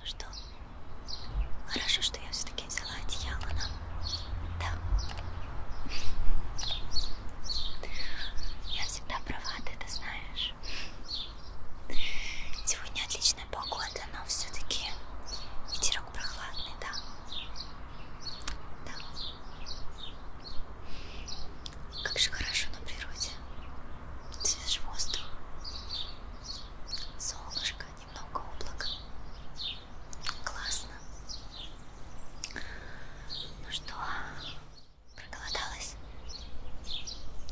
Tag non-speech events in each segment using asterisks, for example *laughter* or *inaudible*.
Ну что, хорошо, что я все-таки взяла одеяло нам. Да. Я всегда права, ты это знаешь. Сегодня отличная погода, но все-таки ветер ветерок прохладный, да? Да. Как же хорошо на природе. Свежий воздух. Солнышко, немного облак. Классно. Ну что, проголодалась?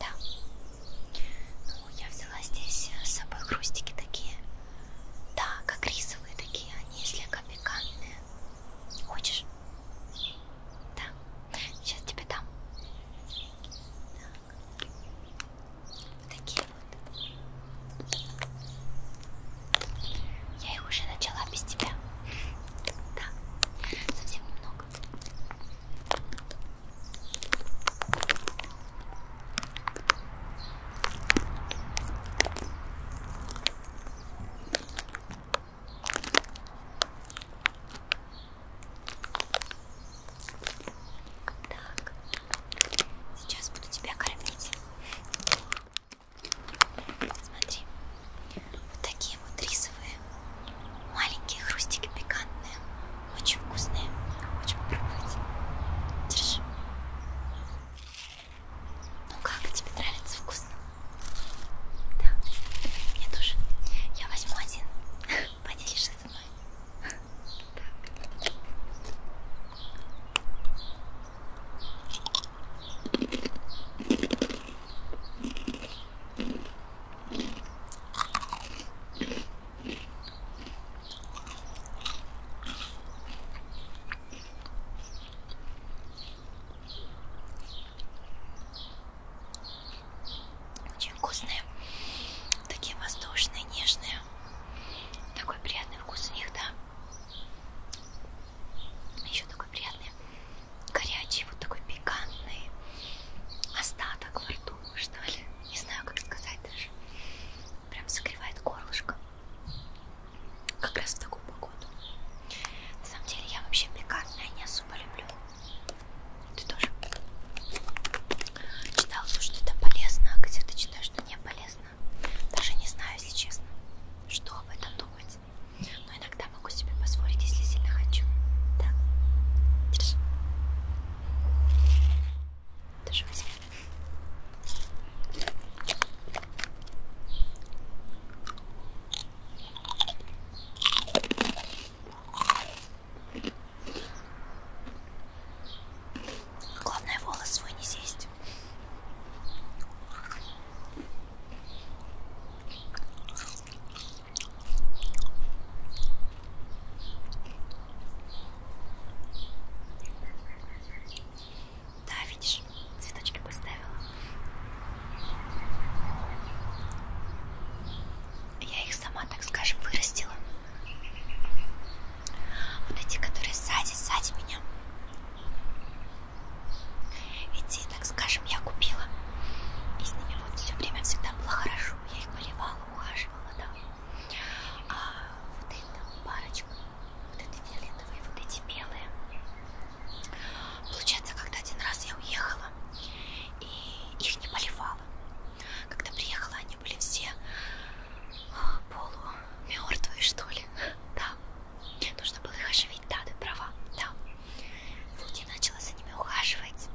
Да. Ну, я все взяла здесь э, с собой хрустики такие. Да, как рисовые такие, они слегка пикантные. Хочешь? Да. Сейчас тебе дам. Так. Такие вот. Я их уже начала без тебя. Да, совсем немного. Так, сейчас буду тебя кормить. Смотри, вот такие вот рисовые маленькие хрустики пикантные. Очень вкусные. Хочу попробовать. Держи. Ну как, тебе нравится вкусно? Да, мне тоже. Я возьму один. *laughs* Поделишься со мной. Так. Очень вкусные, такие воздушные, нежные. Такой приятный вкус у них, да. Еще такой приятный, горячий, вот такой пикантный остаток во рту, что ли. Не знаю, как сказать даже прям согревает горлышко. Как раз в такую погоду. На самом деле я вообще пикантное не особо люблю. Ты тоже? Читал, что это полезно, а где ты читаешь, что не полезно. Даже не знаю, если честно, что об этом думать. Но иногда могу себе позволить, если сильно хочу. Да. Держи. Держи, возьми. Главное волос свой не съесть. Да, видишь, цветочки поставила. Я их сама, так скажем, вырастила. Вот эти, которые сзади, сзади меня. Эти, так скажем, я купила. И с ними вот все время всегда было хорошо. Я их поливала, ухаживала, да. А вот эта парочка, вот эти фиолетовые, вот эти белые. Получается, когда один раз я уехала и их не поливала. Когда приехала, они были все а, полумертвые, что ли. *laughs* Да. Нужно было их оживить, да, ты права, да. Вот я начала за ними ухаживать.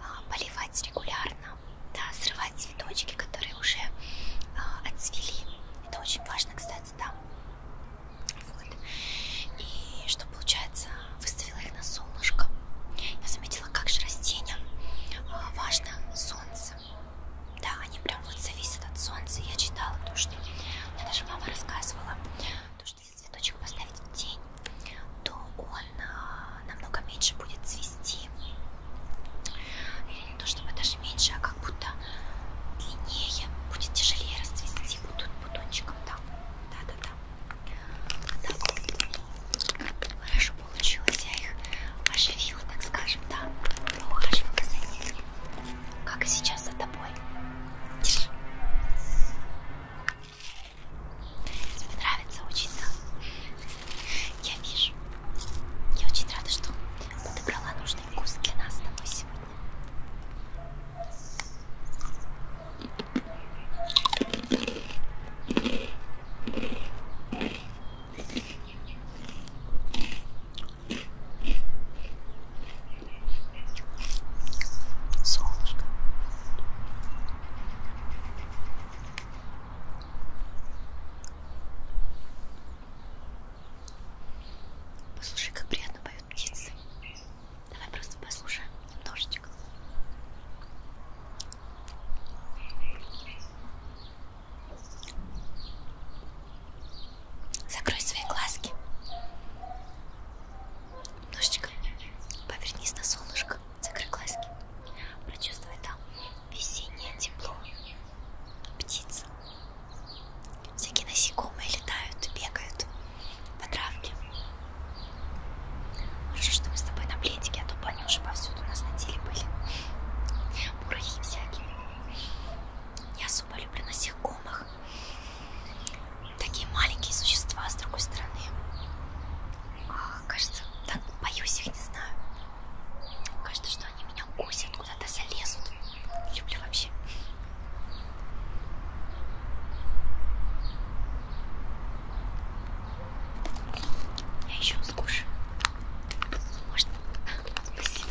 А, поливать регулярно, да, срывать цветочки, которые уже а, отцвели. Это очень важно, кстати, да. Вот. И что получается, выставила их на солнышко. Я заметила, как же растениям а, важно солнце. Да, они прям вот зависят от солнца. Я читала то, что мне даже мама рассказывала, то, что если цветочек поставить в тень, то он он намного меньше будет цвести. Или не то чтобы даже меньше, а как будто длиннее, будет тяжелее расцвести будут бутончиком там. Да-да-да. Хорошо получилось, я их оживила, так скажем, да. Поухаживала за ними. Как и сейчас за тобой. Держи. Тебе нравится очень, да? Я вижу. Я очень рада, что подобрала нужный вкус для нас с тобой сегодня. Солнышко. Послушай, как приятно поют птицы. Давай просто послушаем немножечко. Закрой свои глазки. Немножечко повернись на солнышко. Закрой глазки. Прочувствуй там весеннее тепло. Птиц. Всякие насекомые летают, бегают по травке. Хорошо, что мы с тобой на пледике, а то бы они уже повсюду у нас на теле были. Мурахи всякие. Я особо люблю насекомых. Такие маленькие существа с другой стороны. А, кажется, так боюсь их, не знаю. Кажется, что они меня укусят, куда-то залезут. Люблю вообще. Я еще скушаю. Может, спасибо.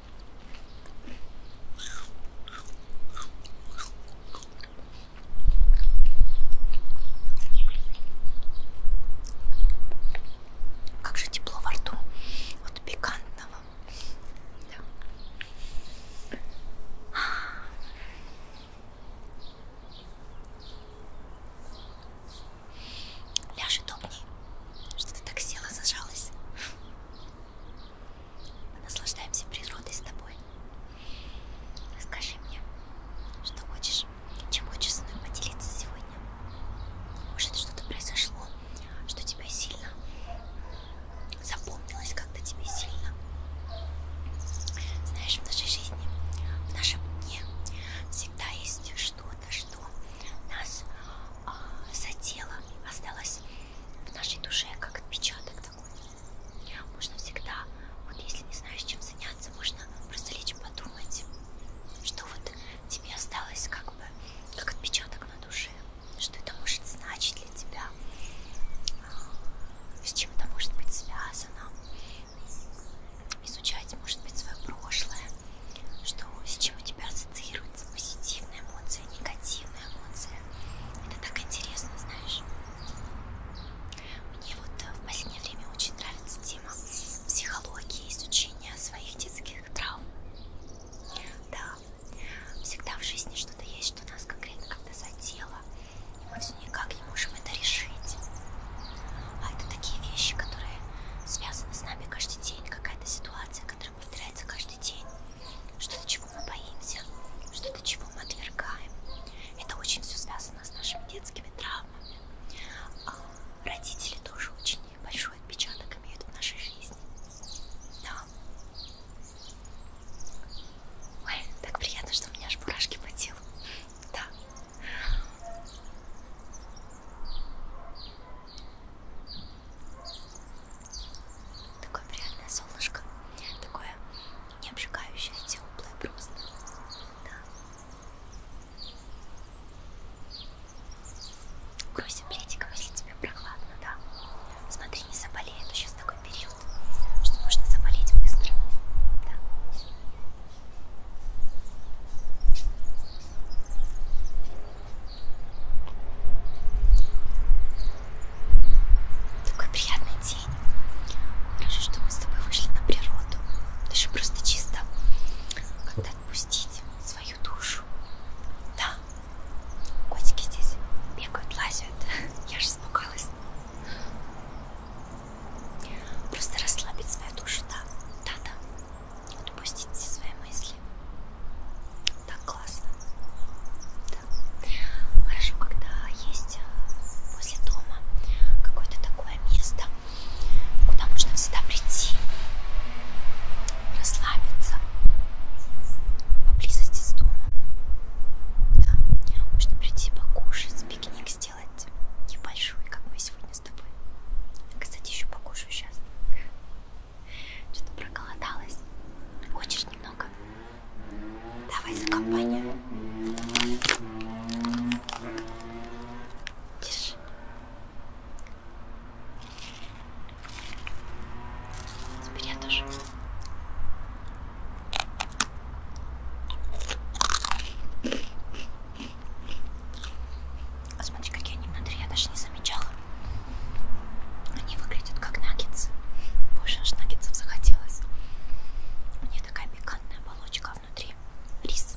Как же тепло во рту от пикантного. Да. Ляж удобней. Что ты так села, зажалась? Мы наслаждаемся природой с тобой. Скажи мне, что хочешь, чем хочешь со мной поделиться сегодня? Может, что-то произошло, что тебя сильно запомнилось, как-то тебе сильно. Знаешь, в нашей жизни, в нашем дне всегда есть что-то, что нас а, за тело осталось в нашей душе как отпечаток такой. Можно всегда, вот если не знаешь, чем заняться, можно просто лечь подумать, что вот тебе осталось как бы как отпечаток на душе, что это может значить для тебя, а, с чем это может быть связано, изучать, может быть, свое прошлое, что с чем у тебя ассоциируется нравятся позитивные эмоции, негативные эмоции. Это так интересно, знаешь. Мне вот э, в последнее время очень нравится тема психологии, изучения своих детских травм. Да, всегда в жизни что-то есть, что нас конкретно как-то задело. И мы все никак не можем это решить. А это такие вещи, которые связаны с нами каждый день, какая-то ситуация, которая которое повторяется каждый день, что-то, чего мы боимся, что-то, чего мы отвергаем. Это очень все связано с нашими детскими травмами. А, родители тоже очень большой отпечаток имеют в нашей жизни. Да. Ой, так приятно, что у меня аж бурашки по телу. Да. Такое приятное солнышко, такое не обжигающее, а теплое просто. Да. Грузи пледиком, если тебе прохладно, да. Смотри, не заболей, это сейчас такой период, что можно заболеть быстро. Да. Такой приятный день. Хорошо, что мы с тобой вышли на природу. Даже просто чисто как-то отпустить свою душу. Да, котики здесь бегают, лазят. *laughs* Я же испугалась. Просто расслабить свою душу, да, да, да отпустить все свои мысли. Так классно. Да. Хорошо, когда есть э, возле дома какое-то такое место, куда можно всегда прийти, расслабиться поблизости с домом. Да. Можно прийти покушать, пикник сделать небольшой, как мы сегодня с тобой. Кстати, еще покушаю сейчас. Что-то проголодалась. Хочешь немного? Давай за компанию. Держи. Теперь я тоже. Смотри, какие они внутри, я даже не замечала. Они выглядят как наггетсы. Боже, аж наггетсов захотелось. У нее такая пикантная оболочка, а внутри рис.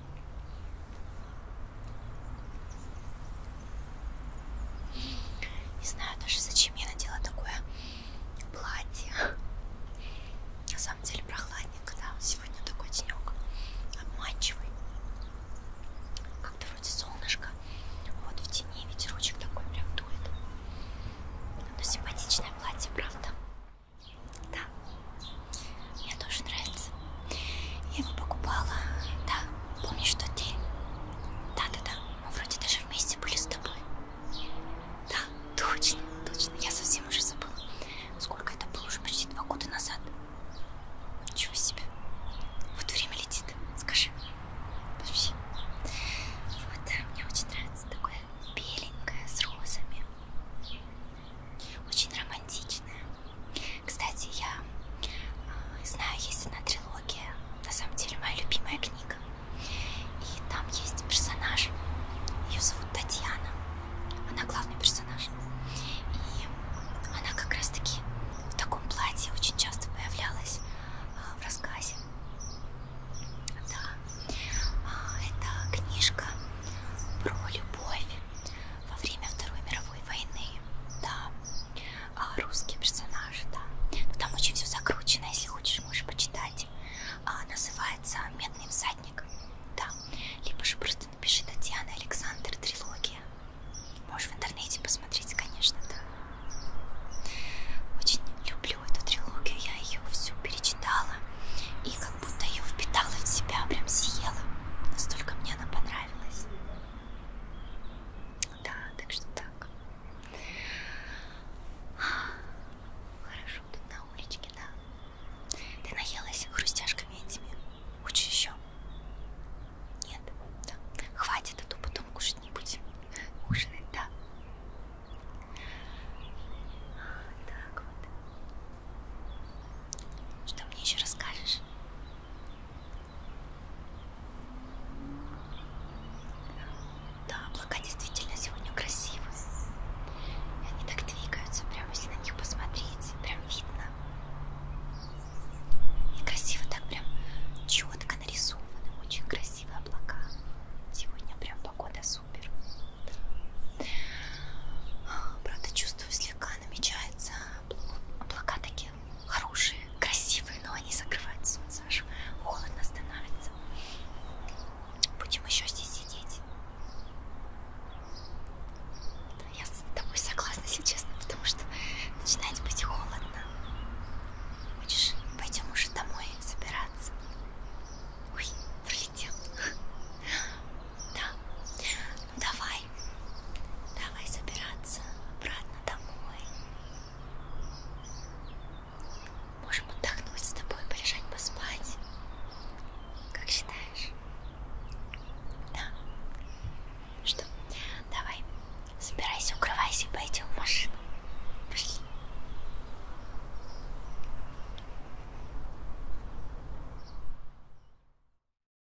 Не знаю даже, зачем я надела такое платье. На самом деле прохладненько, да, сегодня такой денек обманчивый. Как-то вроде солнышко, вот в тени ветерочек такой прям дует. Но симпатичное платье, правда? Да, мне тоже нравится. Я его покупала. Да, помнишь, что ты? Да-да-да, мы вроде даже вместе были с тобой. Да, точно, точно. Я совсем уже забыла. Сколько это было? Уже почти два года назад. Ничего себе. Вот время летит, скажи. Вообще. Вот, мне очень нравится такое беленькое с розами. Очень романтичное. Кстати, я э, знаю, есть одна трилогия, на самом деле моя любимая книга. И там есть персонаж, ее зовут Татьяна, она главный персонаж. И она как раз таки в таком платье очень часто появлялась э, в рассказе. Да, а, это книжка про любовь во время Второй мировой мировой войны, да, а, русские персонажи, да. Но ну, там очень все закручено, если хочешь, можешь почитать. А, называется «Медный всадник», да. Либо же просто напиши «Татьяна Александр. Трилогия». Можешь в интернете посмотреть, конечно, да. Очень люблю эту трилогию, я ее всю перечитала и как будто ее впитала в себя, прям съела. Настолько мне она понравилась. Да, так что так. Хорошо, тут на уличке, да. Ты наелась хрустяшками этими? Хочешь еще? Нет, да. Хватит, а то потом кушать не будем. Ужинать, да. Так вот. Что мне еще расскажешь? Да, облака действительно сегодня красивые. И они так двигаются, прямо если на них посмотреть, прям видно. И красиво так прям четко нарисованы, очень красивые облака. Сегодня прям погода супер. А, правда, чувствую, слегка намечается облака такие хорошие, красивые, но они закрывают солнце, аж холодно становится. Будем еще здесь сидеть. Да, я с тобой согласна, если честно, потому что начинает быть холодно. Хочешь, пойдем уже домой собираться? Ой, пролетел. *laughs* Да. Давай, давай собираться обратно домой. Можем отдохнуть с тобой, полежать, поспать. Как считаешь? Да. Ну что, давай, собирайся, укрывайся и пойдем в машину. Пошли.